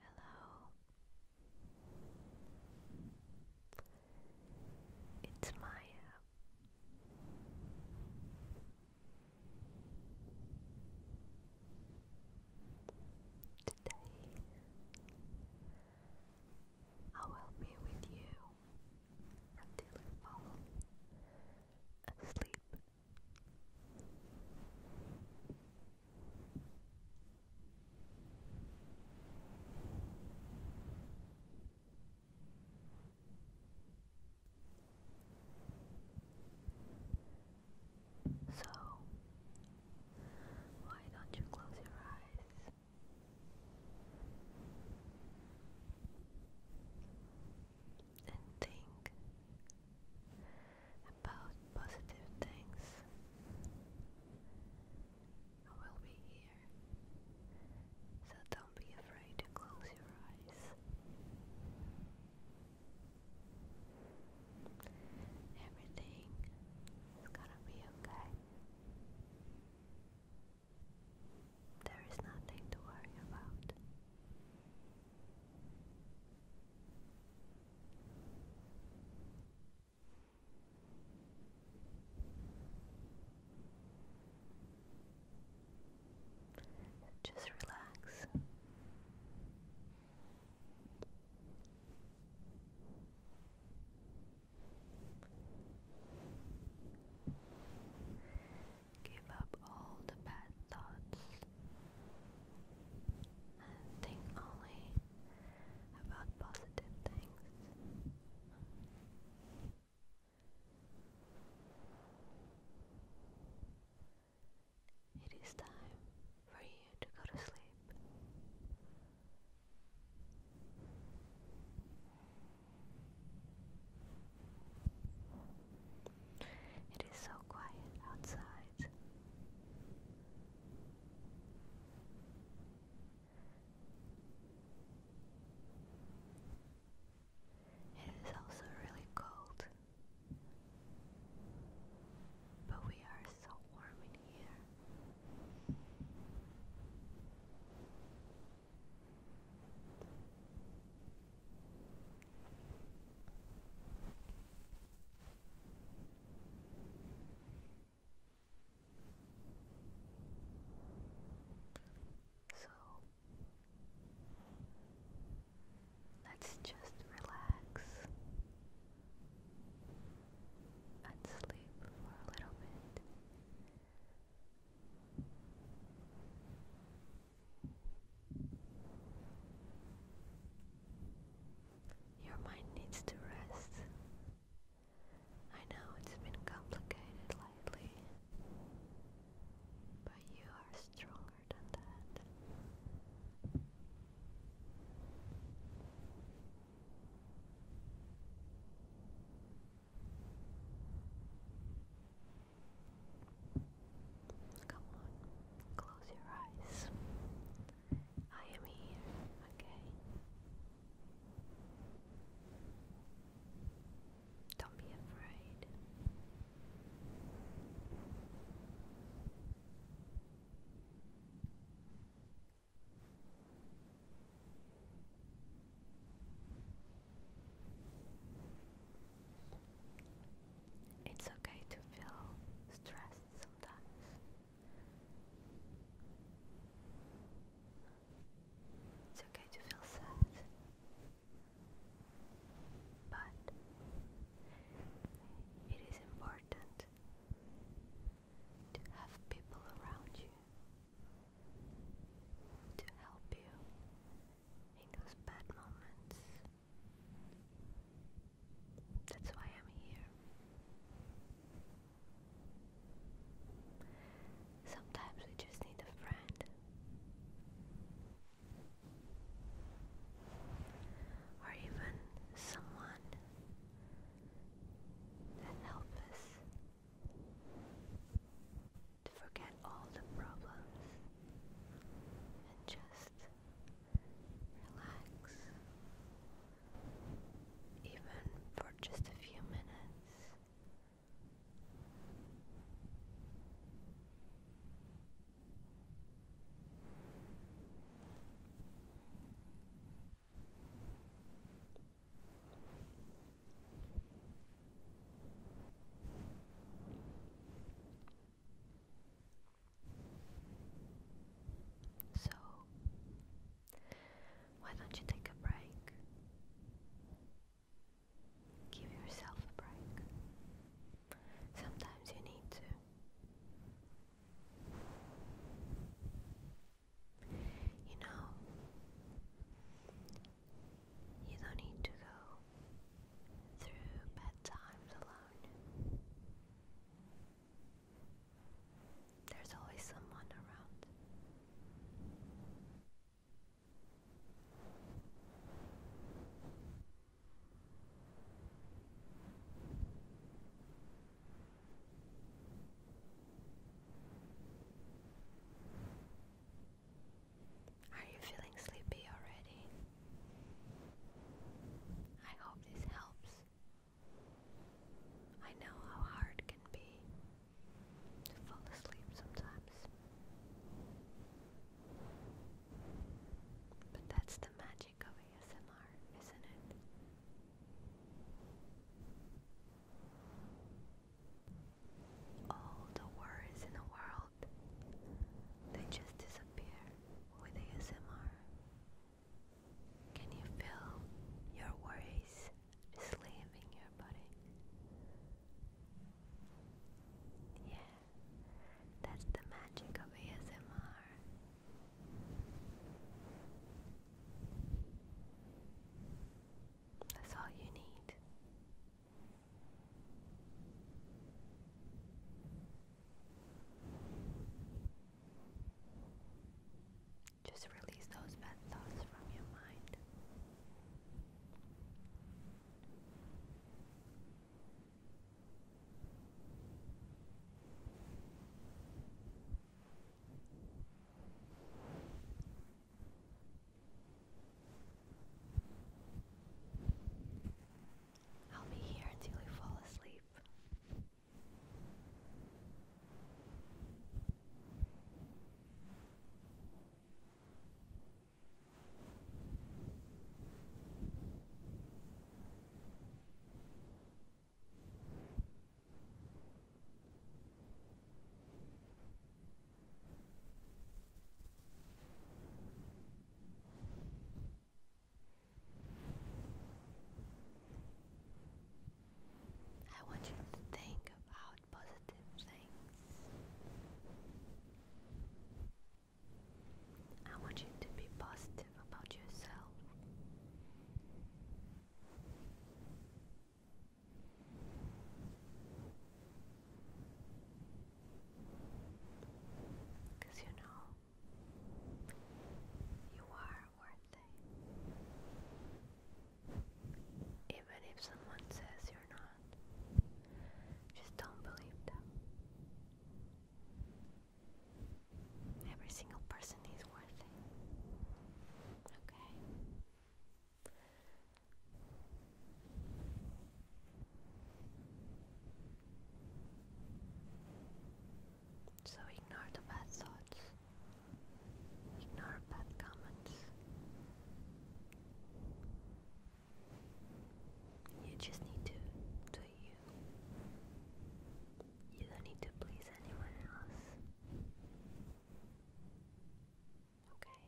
Hello. It's Maya. Today, I will be with you until you fall asleep. So, why don't you close your eyes? And think about positive things. I will be here, so don't be afraid to close your eyes. Everything is gonna be okay. There is nothing to worry about. Just relax. Give up all the bad thoughts and think only about positive things. It is time for you to go to sleep. It is so quiet outside. It is also really cold. But we are so warm in here. So Let's just relax and sleep for a little bit. Your mind needs to rest. I know it's been complicated lately, but you are stronger than that. Come on, close your eyes. I am here, okay? Don't be afraid. It's okay to feel stressed sometimes. It's okay to feel sad. But it is important to have people around you to help you in those bad moments. That's why I'm here. Sometimes we just need a friend. Or even someone that help us to forget all the problems and just relax, even for just a few minutes. So, why don't you take a break? Give yourself a break. Sometimes you need to. You know, you don't need to go through bad times alone. There's always someone around. Are you feeling sleepy already? I hope this helps. I know how hard it can be to fall asleep sometimes. But that's the magic magic of ASMR, isn't it? All the worries in the world, they just disappear with ASMR. Can you feel your worries just your body? Yeah, that's the magic of ASMR. That's all you need. Just release those bad thoughts from your mind. I'll be here until you fall asleep. I want you to think about positive things. I want you to be positive about yourself. you know, you are worth Even if someone says you're not, just don't believe them. Every single person is worth it. Okay. So ignore the bad thoughts, ignore bad comments. You just need to you. You don't need to please anyone else. Okay.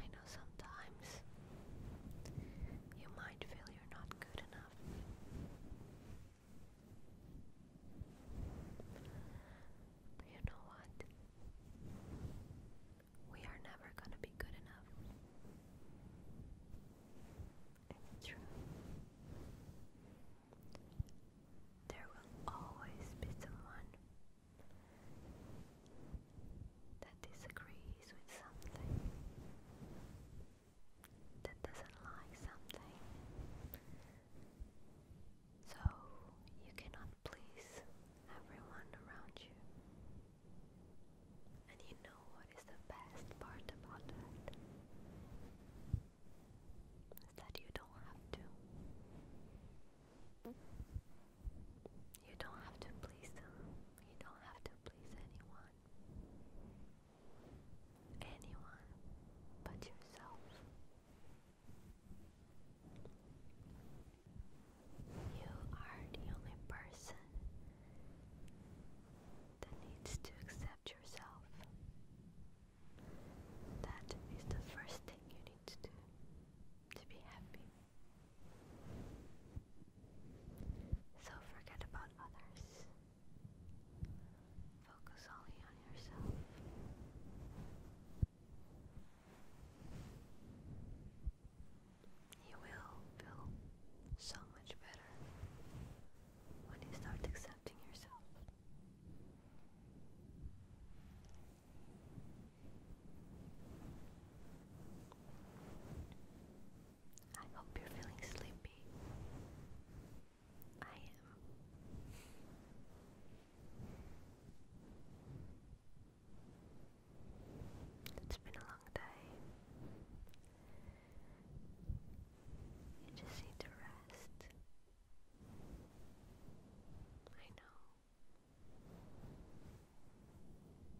I know sometimes you might feel you're not good enough. But you know what? We are never gonna be good enough. It's true. There will always be someone that disagrees with something that doesn't like something. So you cannot please everyone around you. And you know what is the best part about that? Is that you don't have to. You don't have to please them. You don't have to please anyone anyone but yourself. You are the only person that needs to accept yourself. That is the first thing you need to do to be happy. So forget about others. Focus only on yourself. You will feel so much better when you start accepting yourself. I hope you're feeling sleepy. I am. It's been a long day. You just need to rest. I know.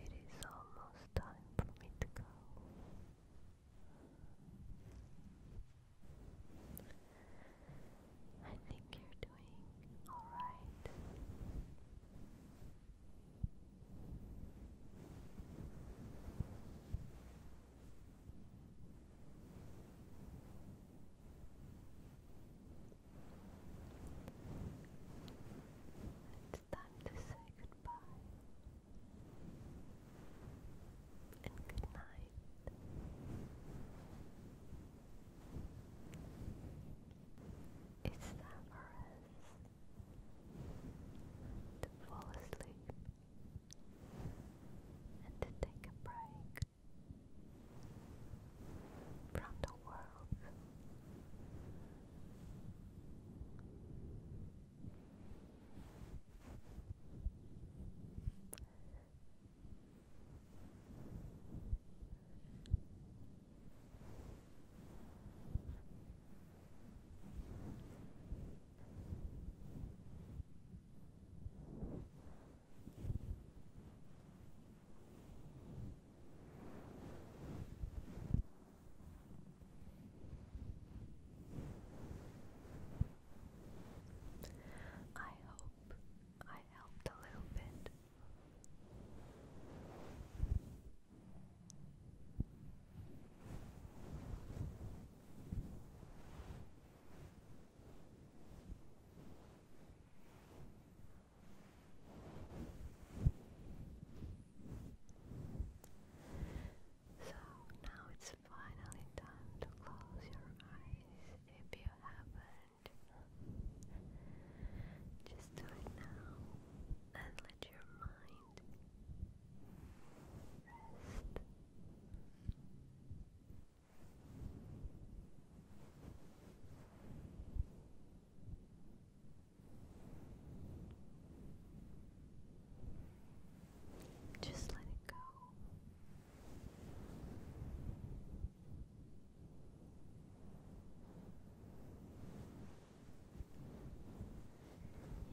It is almost time for me to go. I think you're doing alright. It's time to say goodbye and good It's time for us to fall asleep and to take a break from the world. I hope I helped a little bit. So now it's finally time to close your eyes if you haven't. Just do it now and let your mind rest. Just let it go.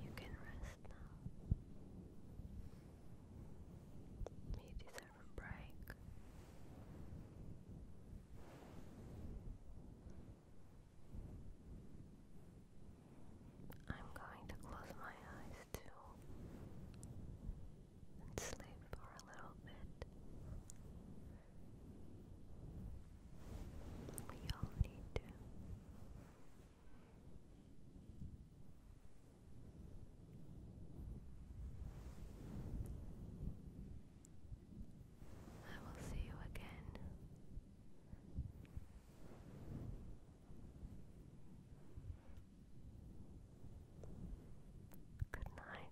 You can rest. You deserve a break. I'm going to close my eyes too and sleep for a little bit. We all need to. I will see you again. Good night.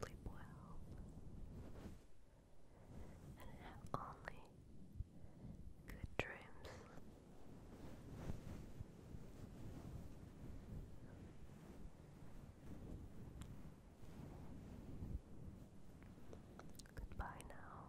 Sleep well and have only good dreams. Goodbye now.